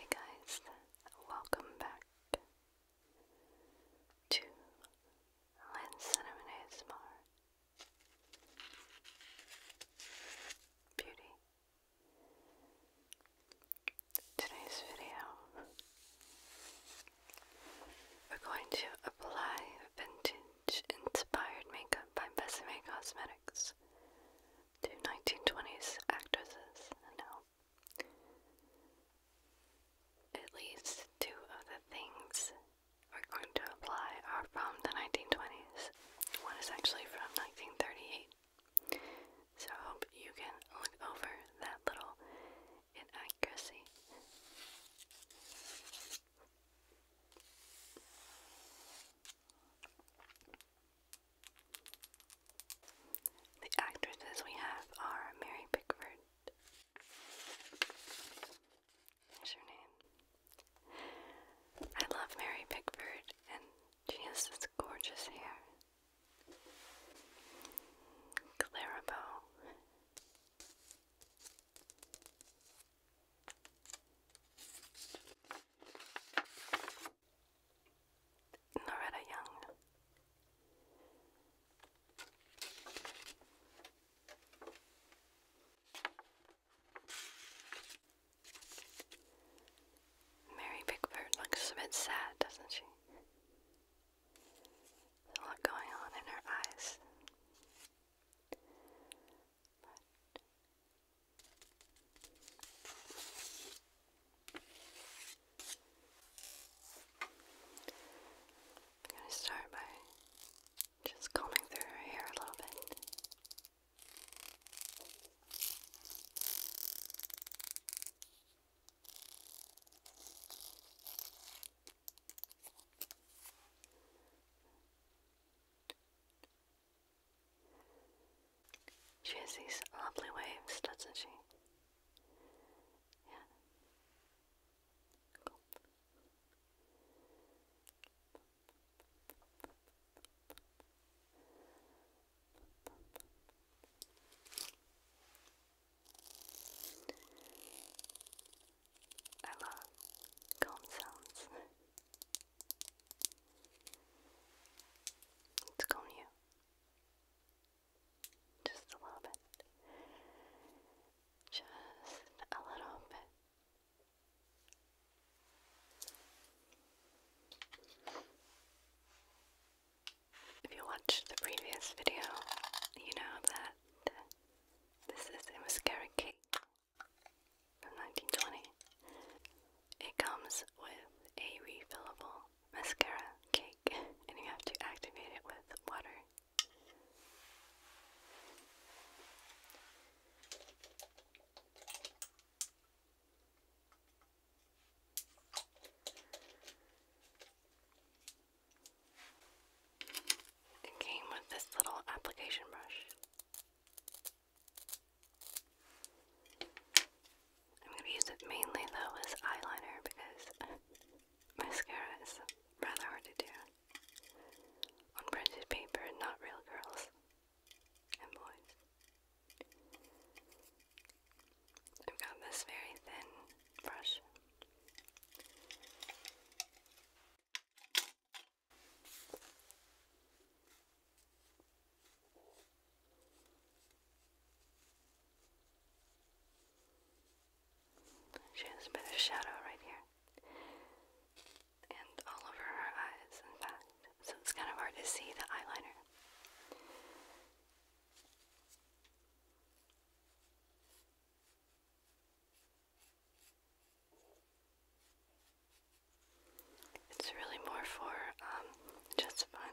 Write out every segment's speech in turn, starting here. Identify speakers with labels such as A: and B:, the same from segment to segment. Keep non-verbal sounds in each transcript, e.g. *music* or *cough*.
A: Hey guys, welcome back to Lens Beauty. Today's video, we're going to apply vintage inspired makeup by Besame Cosmetics to 1920s actresses now. At least two of things are going to apply are from the 1920s. One is actually from 1938. So hope you can look over that little inaccuracy. The actresses we have are Mary Pickford. Is her name? I love Mary Pickford, and she has this gorgeous hair. Clara Loretta Young. Mary Pickford looks a bit sad, doesn't she? There's a lot going on in her eyes. I'm going to start by just combing through her hair a little bit. She has these lovely waves, doesn't she? Yeah. I love calm sounds. *laughs* It's calm you. Just a little bit. Just a little bit. If you watched the previous video, you know that this is a mascara cake from 1920. It comes with a refillable mascara cake and you have to activate it with water. It came with this little application brush. I'm going to use it mainly though as eyeliner because *laughs* mascara is rather hard to do on printed paper not real girls and boys. I've got this very thin brush. She a bit of shadow right here. And all over her eyes, in fact. So it's kind of hard to see the eyeliner. It's really more for um, just fun.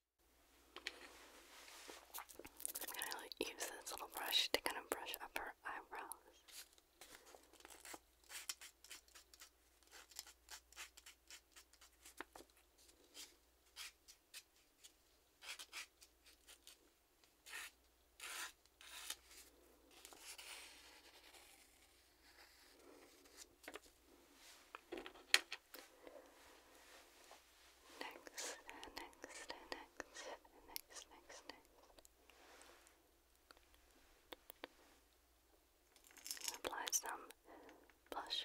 A: I'm gonna use this little brush to kind of brush up her eyebrows next, next, next, next, next, next. Apply some blush.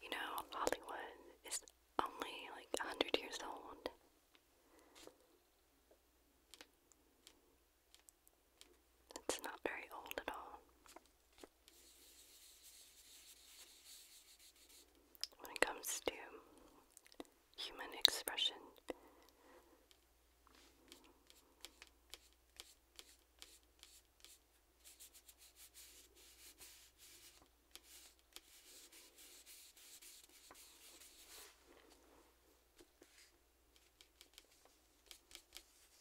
A: You know, Hollywood is only like a hundred years old. It's not very old at all. When it comes to human expression,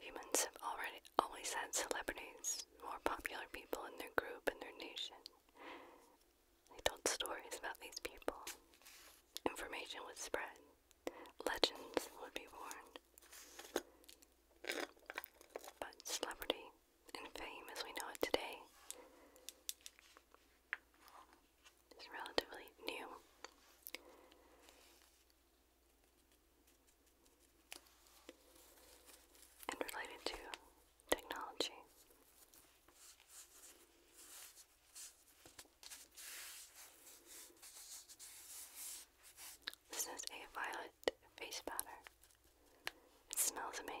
A: Humans have already always had celebrities, more popular people in their group and their nation. They told stories about these people. Information was spread legends would be born. But celebrity and fame as we know it today is relatively new. And related to technology. This is a violet face powder. It smells amazing.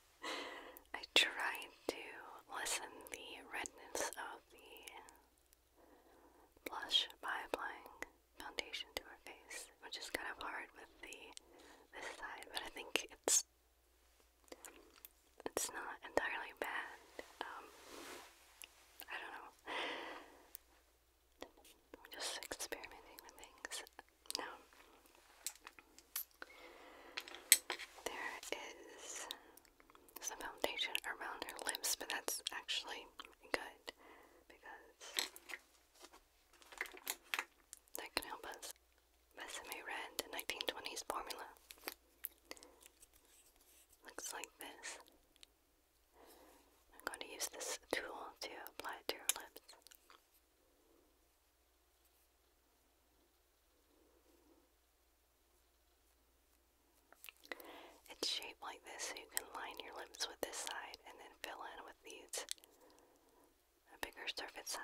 A: I tried to lessen the redness of the blush by applying foundation to her face, which is kind of hard with the this side, but I think it's it's not entirely bad. Um, I don't know. I'm just experimenting with things. Now, there is some foundation around her lips, but that's actually good because that can help us. Besame Red 1920s formula. Looks like this. I'm going to use this tool to apply it to your lips. It's shaped like this so you can line your lips with this side and then fill in with these a bigger surface side.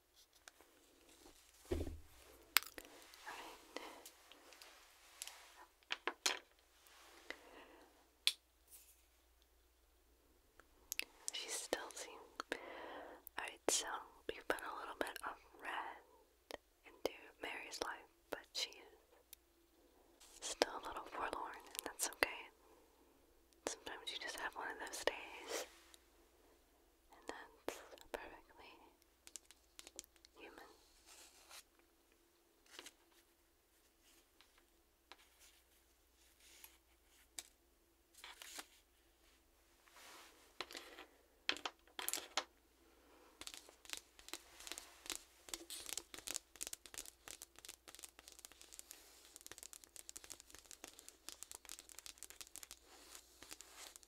A: Right. She's still seeing. Alright, so we've put a little bit of red into Mary's life, but she is still a little forlorn, and that's okay. Sometimes you just have one of those days and that's perfectly human.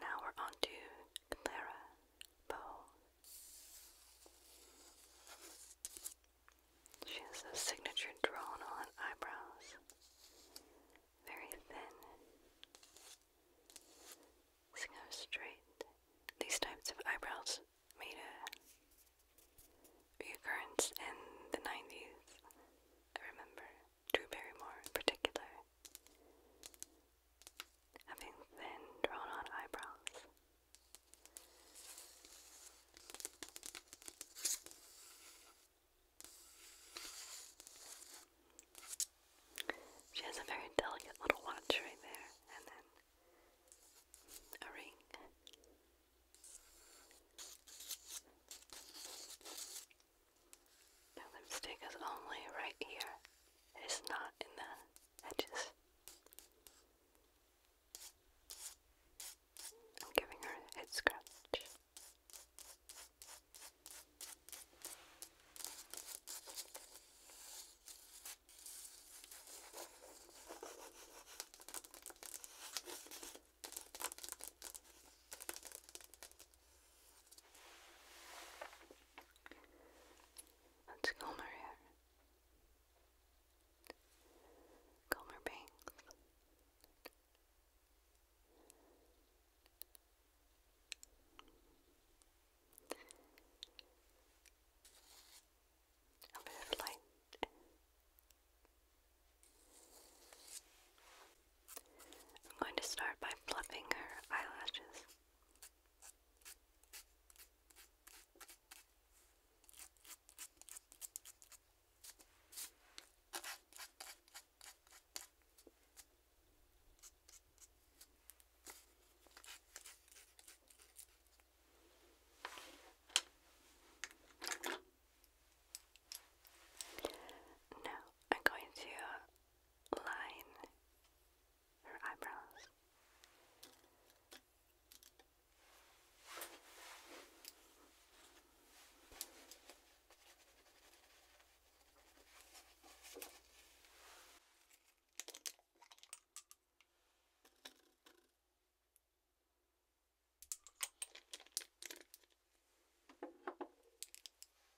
A: Now we're on to Clara Bow. She has those signature drawn on eyebrows. Very thin. kind of straight. These types of eyebrows made a reoccurrence in the 90s, I remember. Drew Barrymore in particular, having thin, drawn on eyebrows. She has a very delicate little watch right there, and then a ring. Now the mistake is only right here. It is not in the edges. I'm giving her a head scratch. Let's comb her hair. Comb A bit of light. I'm going to start by fluffing her eyelashes. Now I'm going to line her eyebrows.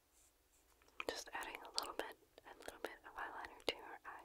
A: I'm just adding a little bit, a little bit of eyeliner to her eye.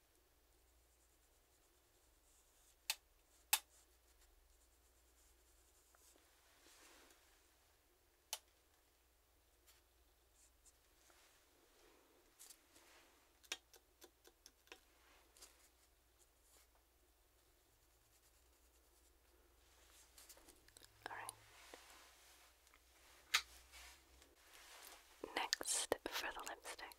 A: All right. Next for the lipstick.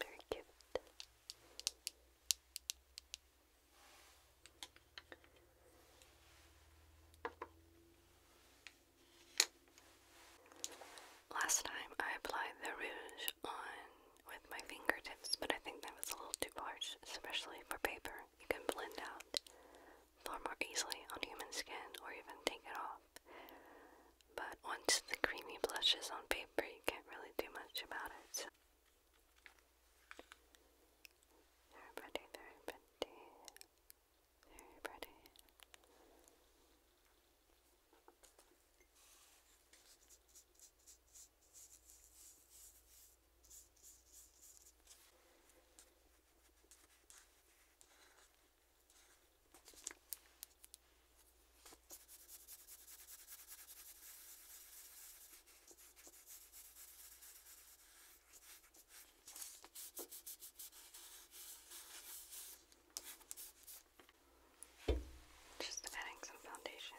A: Very cute. Last time I applied the rouge on with my fingertips, but I think that was a little too harsh, especially for paper. You can blend out far more easily on human skin or even take it off. But once the creamy blush is on paper, you can't really do much about it. Very pretty, very pretty, very pretty. Just adding some foundation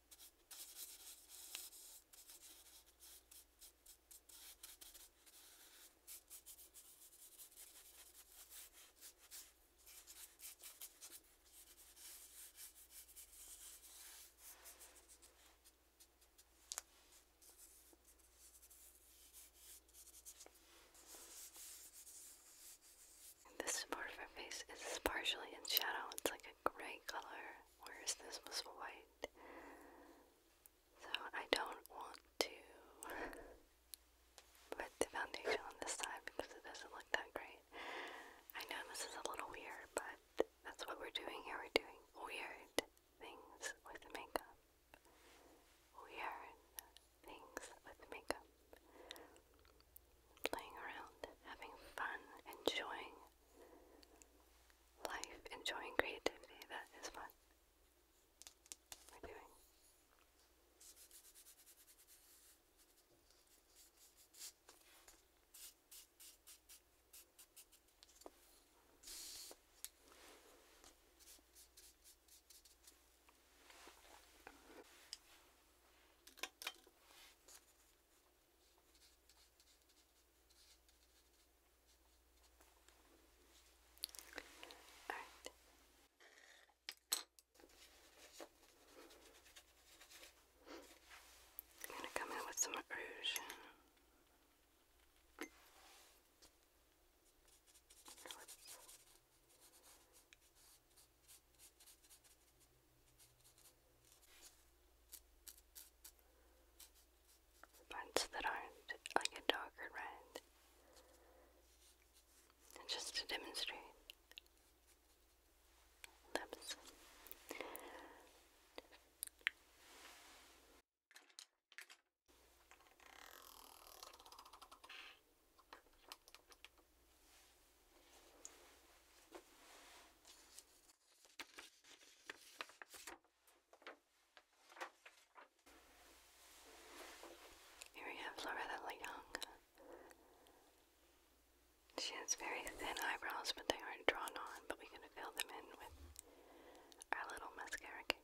A: This part of her face is partially in shadow. It's like gray color, whereas this was white. So I don't want to *laughs* put the foundation on this side because it doesn't look that great. I know this is a little weird, but that's what we're doing here. We're doing weird things with makeup. Weird things with makeup. Playing around, having fun, enjoying life, enjoying creativity, that is fun. we're doing. Alright. I'm gonna come in with some rouge. The parts that aren't like a darker red. just to demonstrate lips. Here we have Loretta Young. She has very thin eyebrows, but they aren't drawn on, but we're going to fill them in with our little mascara cake.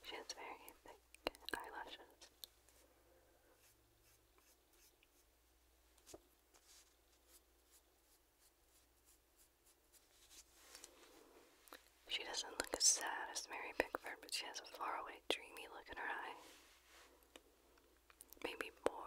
A: She has very thick eyelashes. She doesn't look as sad as Mary Pickford, but she has a faraway, dreamy look in her eye. Maybe bored.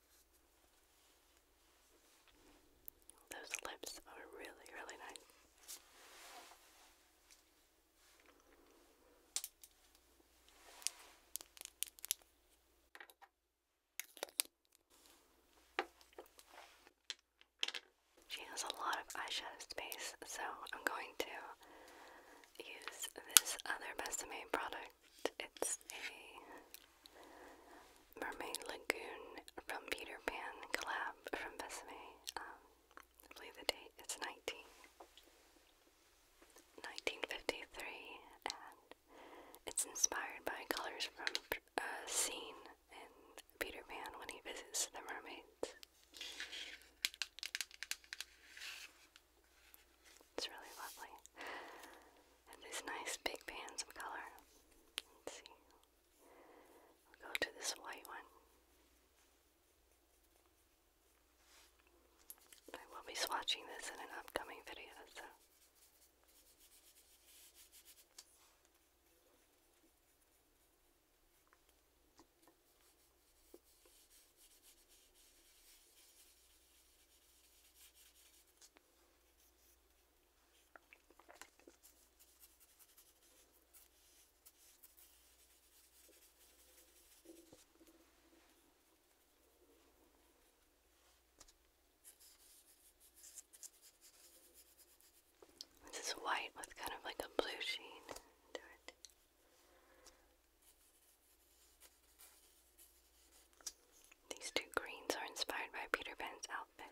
A: Those lips are really, really nice. She has a lot of eyeshadow space, so I'm going to use this other Besame product. It's a Mermaid Lagoon from Peter Pan collab from Besame. Um, I believe the date is 19, and it's inspired by colors from a uh, scene in Peter Pan when he visits the mermaids. It's really lovely. these nice big pans of color. Let's see. We'll go to this white one. I will be swatching this in an upcoming video, so. This is white with kind of like a blue sheen to it. These two greens are inspired by Peter Pan's outfit.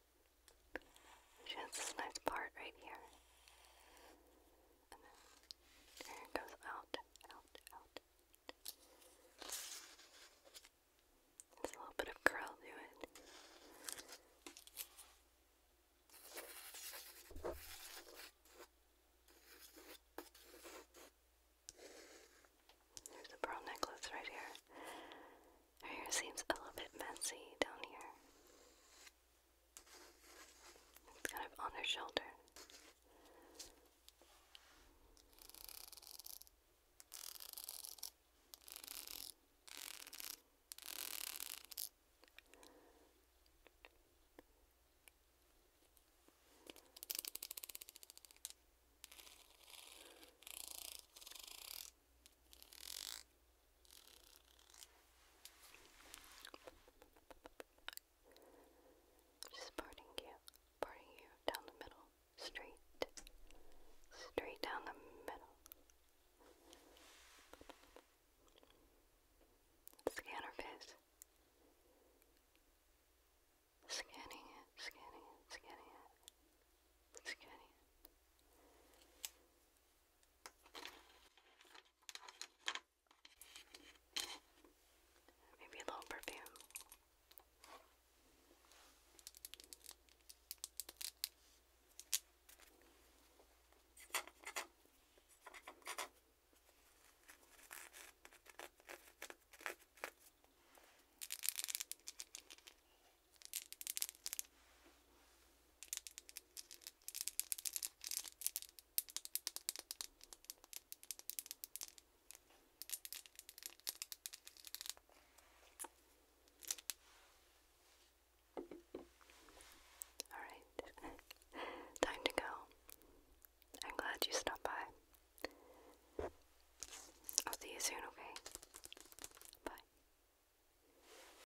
A: She has this nice part right here. And then it goes out, out, out. There's a little bit of curl to it. There's pearl necklace right here. Her hair seems a little bit messy down here. It's kind of on her shoulder. Just parting you, parting you down the middle, straight, straight down the middle. Scan face. Scanning it, scanning it, scanning it, scanning it. Maybe a little perfume. Alright, *laughs* time to go. I'm glad you stopped by. I'll see you soon, okay? Bye.